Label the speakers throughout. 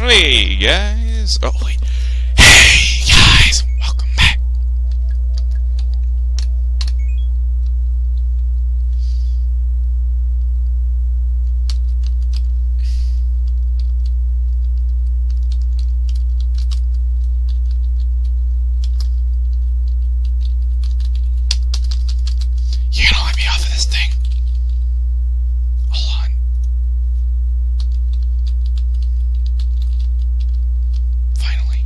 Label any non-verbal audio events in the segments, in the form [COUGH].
Speaker 1: Hey guys! Oh wait. Hey guys! Welcome back! You gotta let me off of this thing.
Speaker 2: Hold Finally.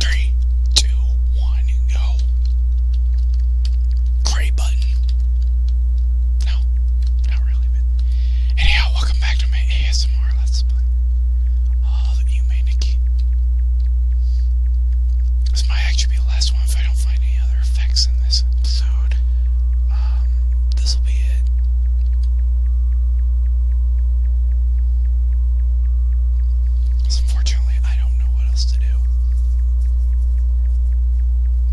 Speaker 1: Three, two, one, go. Gray button. No, not really. Damn it. Anyhow, welcome back to my ASMR Let's Play. All you may Nikki. This might actually be the last one if I don't find any other effects in this episode. Um, this will be it. unfortunately, I don't know what else to do.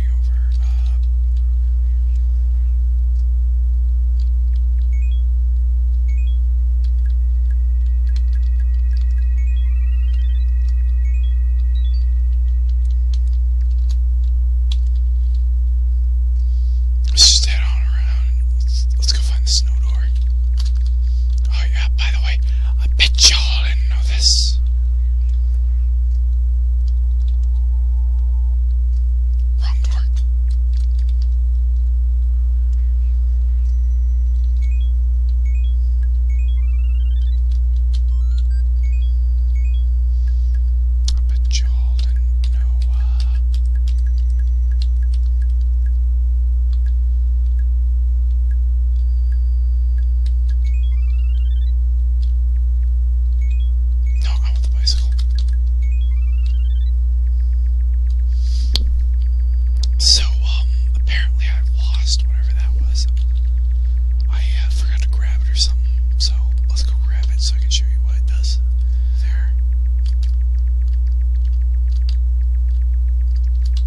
Speaker 2: hangover. Uh,
Speaker 1: Let's just head on around. let's go find the snow door. Oh yeah, by the way, I bet y'all didn't know this. Wrong part. I bet y'all didn't know. Uh, no, I want the bicycle. So, um, apparently I lost whatever that was. I uh, forgot to grab it or something, so let's go grab it so I can show you what it does. There.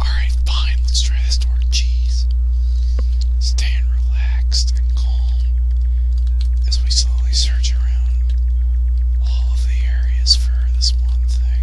Speaker 1: Alright, fine, let's try this door. Jeez. Staying relaxed and calm as we slowly search around all the areas for this one thing.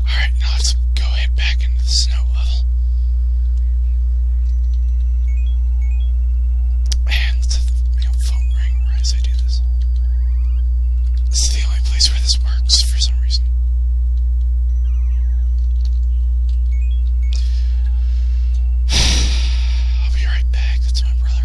Speaker 1: Alright, now let's go head back into the snow level. And the phone rang right as I do this. This is the only place where this works for some reason. [SIGHS] I'll be right back. That's my brother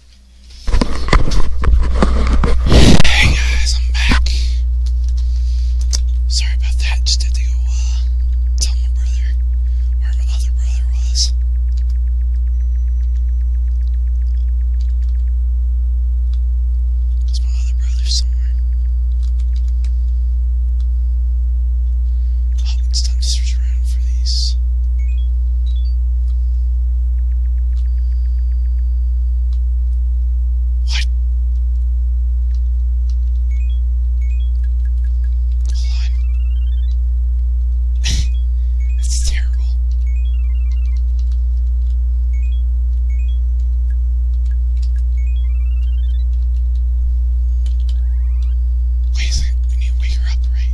Speaker 1: Hey guys, I'm back. Sorry about that. Just had to go uh, tell my brother where my other brother was. Cause my other brother's somewhere. Oh, it's time to search around for these. What?
Speaker 2: Hold [LAUGHS] on. That's terrible. Wait we need to wake her up, right?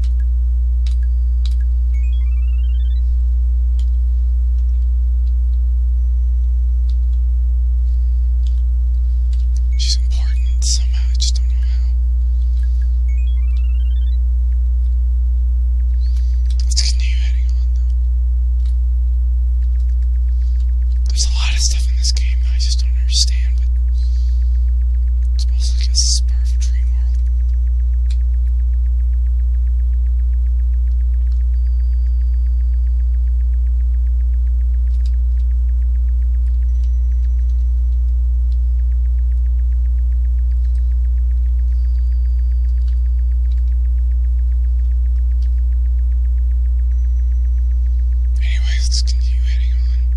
Speaker 1: She's important somehow, I just don't know how. Let's continue heading on though. There's a lot of stuff in this game that I just don't understand, but it's mostly just a part of a dream world.
Speaker 2: Anyways, let's continue heading on.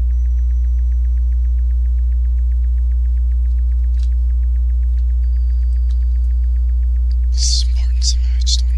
Speaker 1: This is Martin somehow, I just don't know.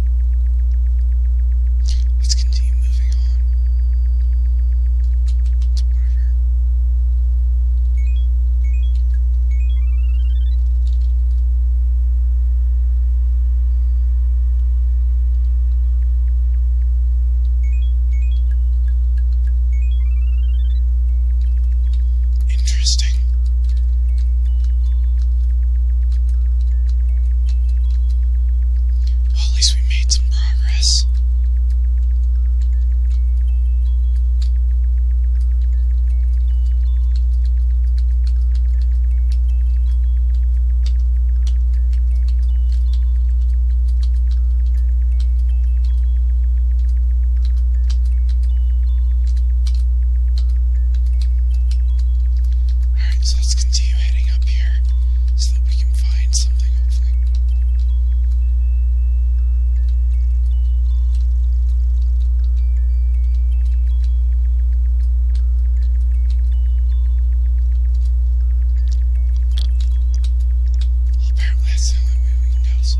Speaker 2: Let's continue moving on. Whatever. Interesting.
Speaker 1: Well, at least we made some progress. Alright, so let's continue heading up here so that we can find something, hopefully.
Speaker 2: apparently that's the only way we can go. So.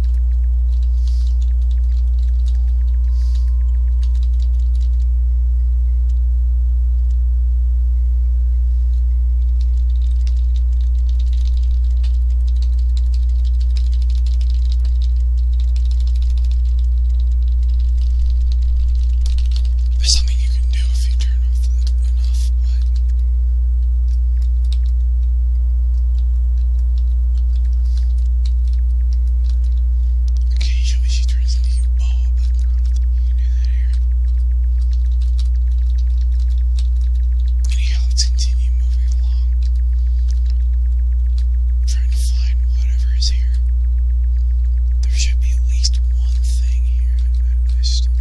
Speaker 2: There's something you can do if you turn off the enough, but
Speaker 1: Occasionally she turns into a you can that here. Anyhow, let's continue moving along. trying to find whatever is here. There should be at least one thing here. I just don't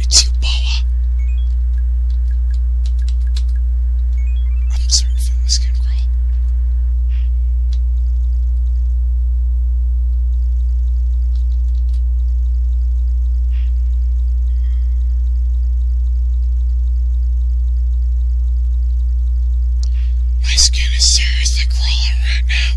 Speaker 1: It's your power. I'm starting to feel my skin crawl. My skin is seriously
Speaker 2: crawling right now.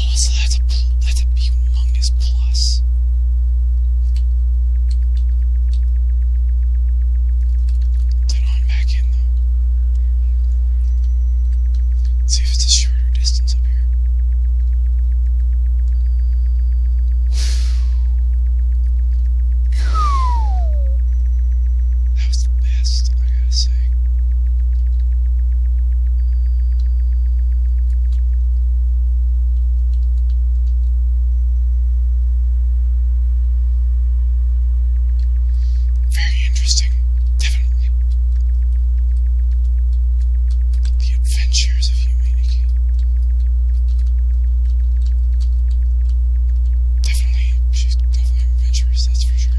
Speaker 1: Oh, so that's a, that's plus. Then on back in, though. See if it's a shorter distance up here. That was the best, I gotta say.
Speaker 2: Very interesting, definitely. The
Speaker 1: adventures of humanity. Definitely, she's definitely adventurous, that's for sure.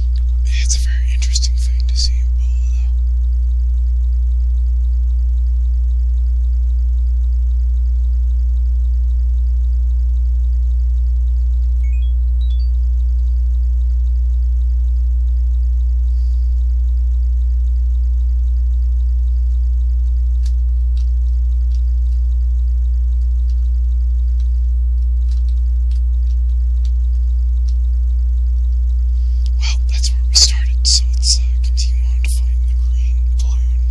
Speaker 1: It's a very interesting thing to see though. Well, that's where we started, so let's uh, continue on to find the green balloon.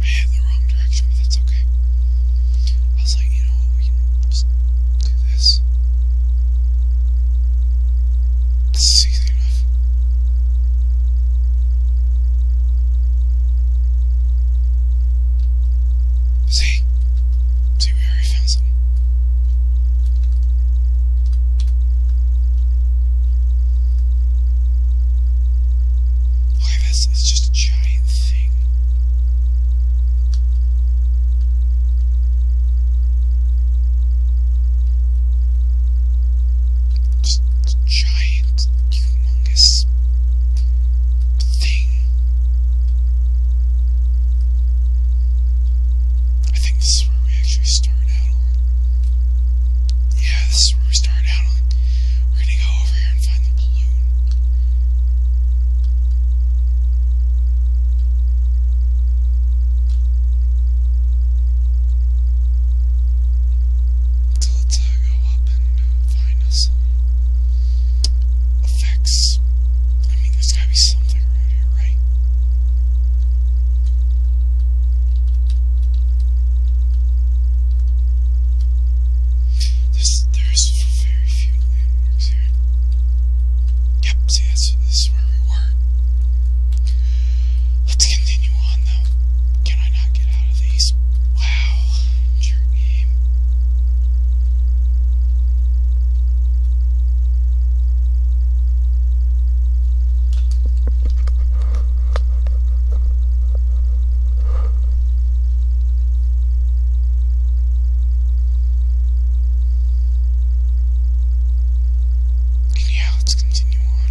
Speaker 1: I headed the wrong direction, but that's okay. I was like, you know what, we can just do this. This is easy enough. See? See, we already found some. Look this, it's just a giant thing. Just giant, humongous strongest thing. I think this is where we actually start out on. Yeah, this is where we start out
Speaker 2: on. We're gonna go over here and find the balloon
Speaker 1: able to go up and find us effects. I mean, there's gotta be something around here, right? This, there's very few landmarks here. Yep, see, this is where we were. Let's continue on, though. Can I not get out of these? Wow,
Speaker 2: and yeah, let's continue on.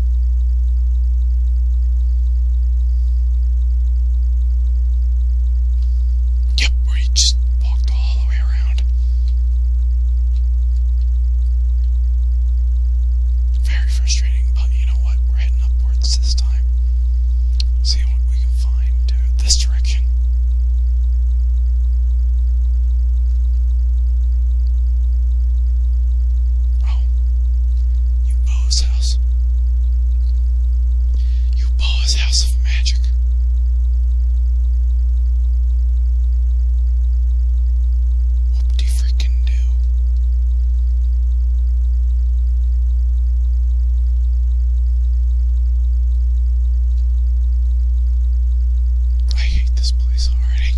Speaker 1: Yep, where you just walked all the way around. Very frustrating, but you know what? We're heading upwards this time. See what we can find this direction. You owe house. You owe house of magic.
Speaker 2: What do you do?
Speaker 1: I hate this place already.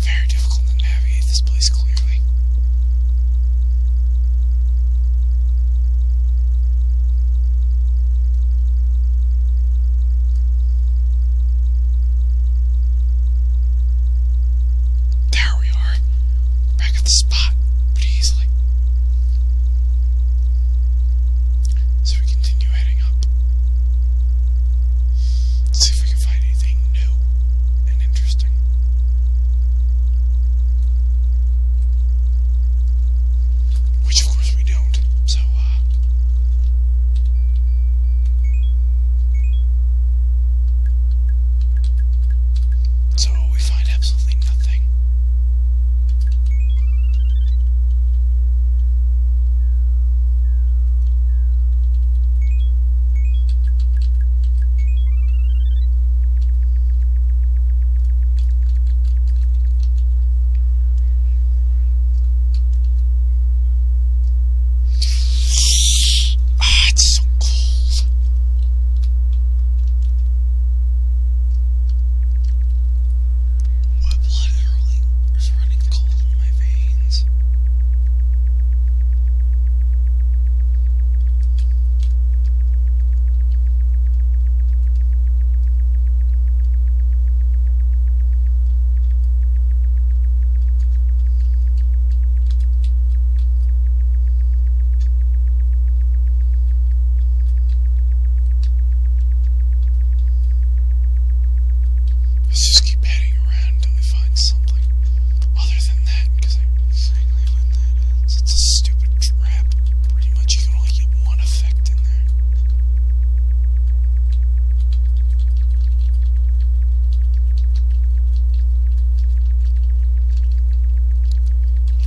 Speaker 1: Very difficult to navigate this place clearly. There we are. Back at the spot pretty easily. So we continue heading up. see if we can find anything new and interesting. Which, of course, we don't, so, uh, So we find absolutely nothing nothing.
Speaker 2: Ah, my blood is running cold in my veins.
Speaker 1: Let's just keep heading around until we find something other than that, because I exactly when It's a stupid trap. Pretty much you can only get one effect in there.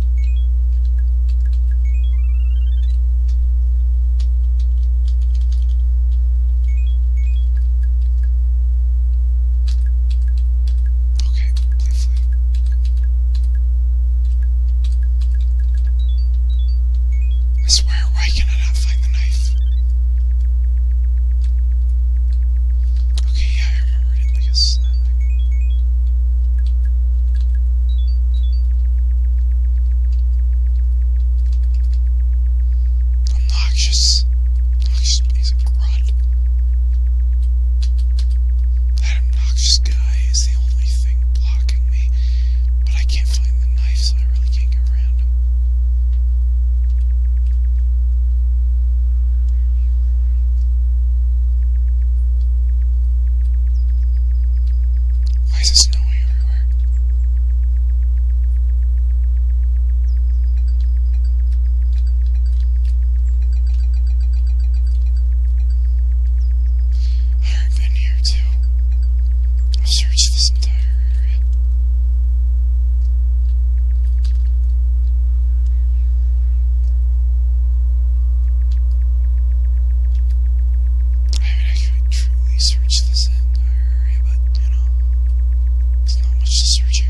Speaker 1: Okay, lovely. I swear, why can I not find the knife? Okay, yeah, I remembered it because. Uh, Obnoxious. Obnoxious piece grunt. That obnoxious guy is the only thing blocking me, but I can't find the knife, so I really can't get around him.
Speaker 2: Why is it snowing everywhere?
Speaker 1: I've been here too. i searched this entire I mean, I truly search this entire area, but, you know, there's not much to search here.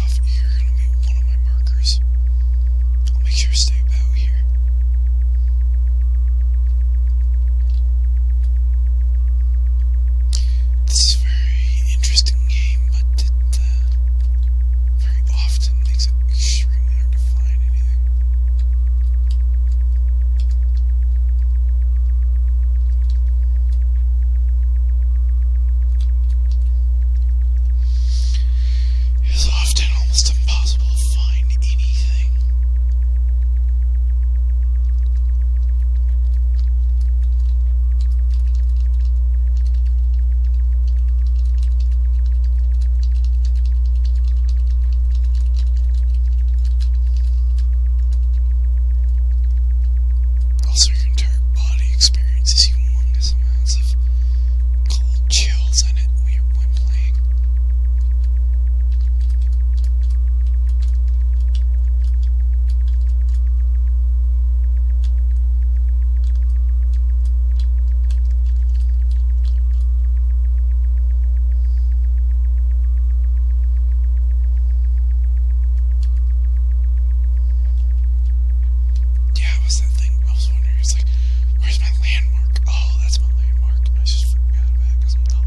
Speaker 1: off here and make one of my markers. I'll make sure to stay about here. This is a very interesting game, but it uh, very often makes it extremely hard to find anything.
Speaker 2: It is often
Speaker 1: almost impossible to find anything. Also, your entire body experience is has amounts of cold chills on it when playing. Yeah, what's that thing? I was wondering. It's like,
Speaker 2: where's my landmark?
Speaker 1: Oh, that's my landmark. I just forgot it because I'm dumb.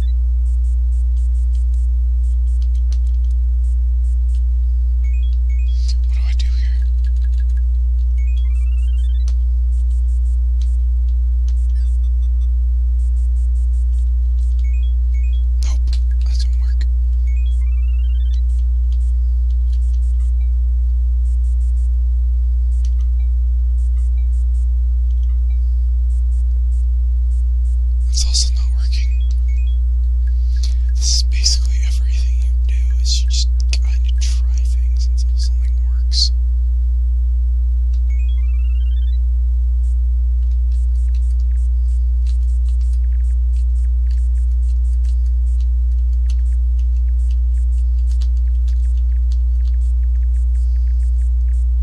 Speaker 2: What do I do here?
Speaker 1: Nope, that didn't work. It's also not working. This is basically everything you do, is you just kind of try things until something works.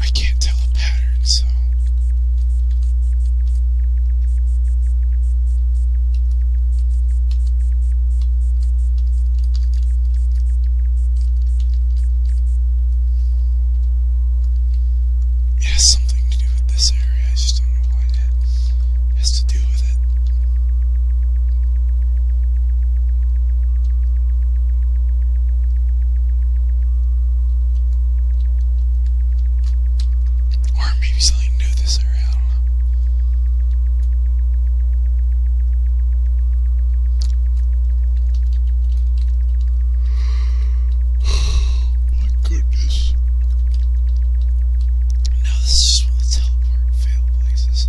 Speaker 1: I can't tell a pattern, so has something to do with this area. I just don't know what it has to do with it. Or
Speaker 2: maybe something new this area, my goodness.
Speaker 1: Now this just one teleport fail places.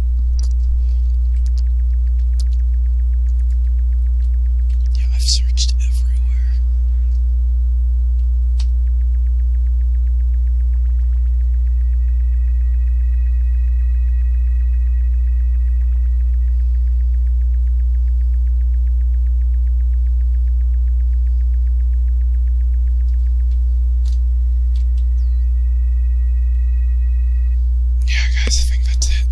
Speaker 2: Yeah, I've searched everywhere yeah, guys, I think that's it.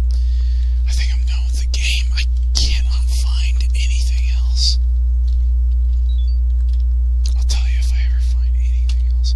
Speaker 1: I think I'm done with the game. I cannot find anything else. I'll tell you if I ever find anything else.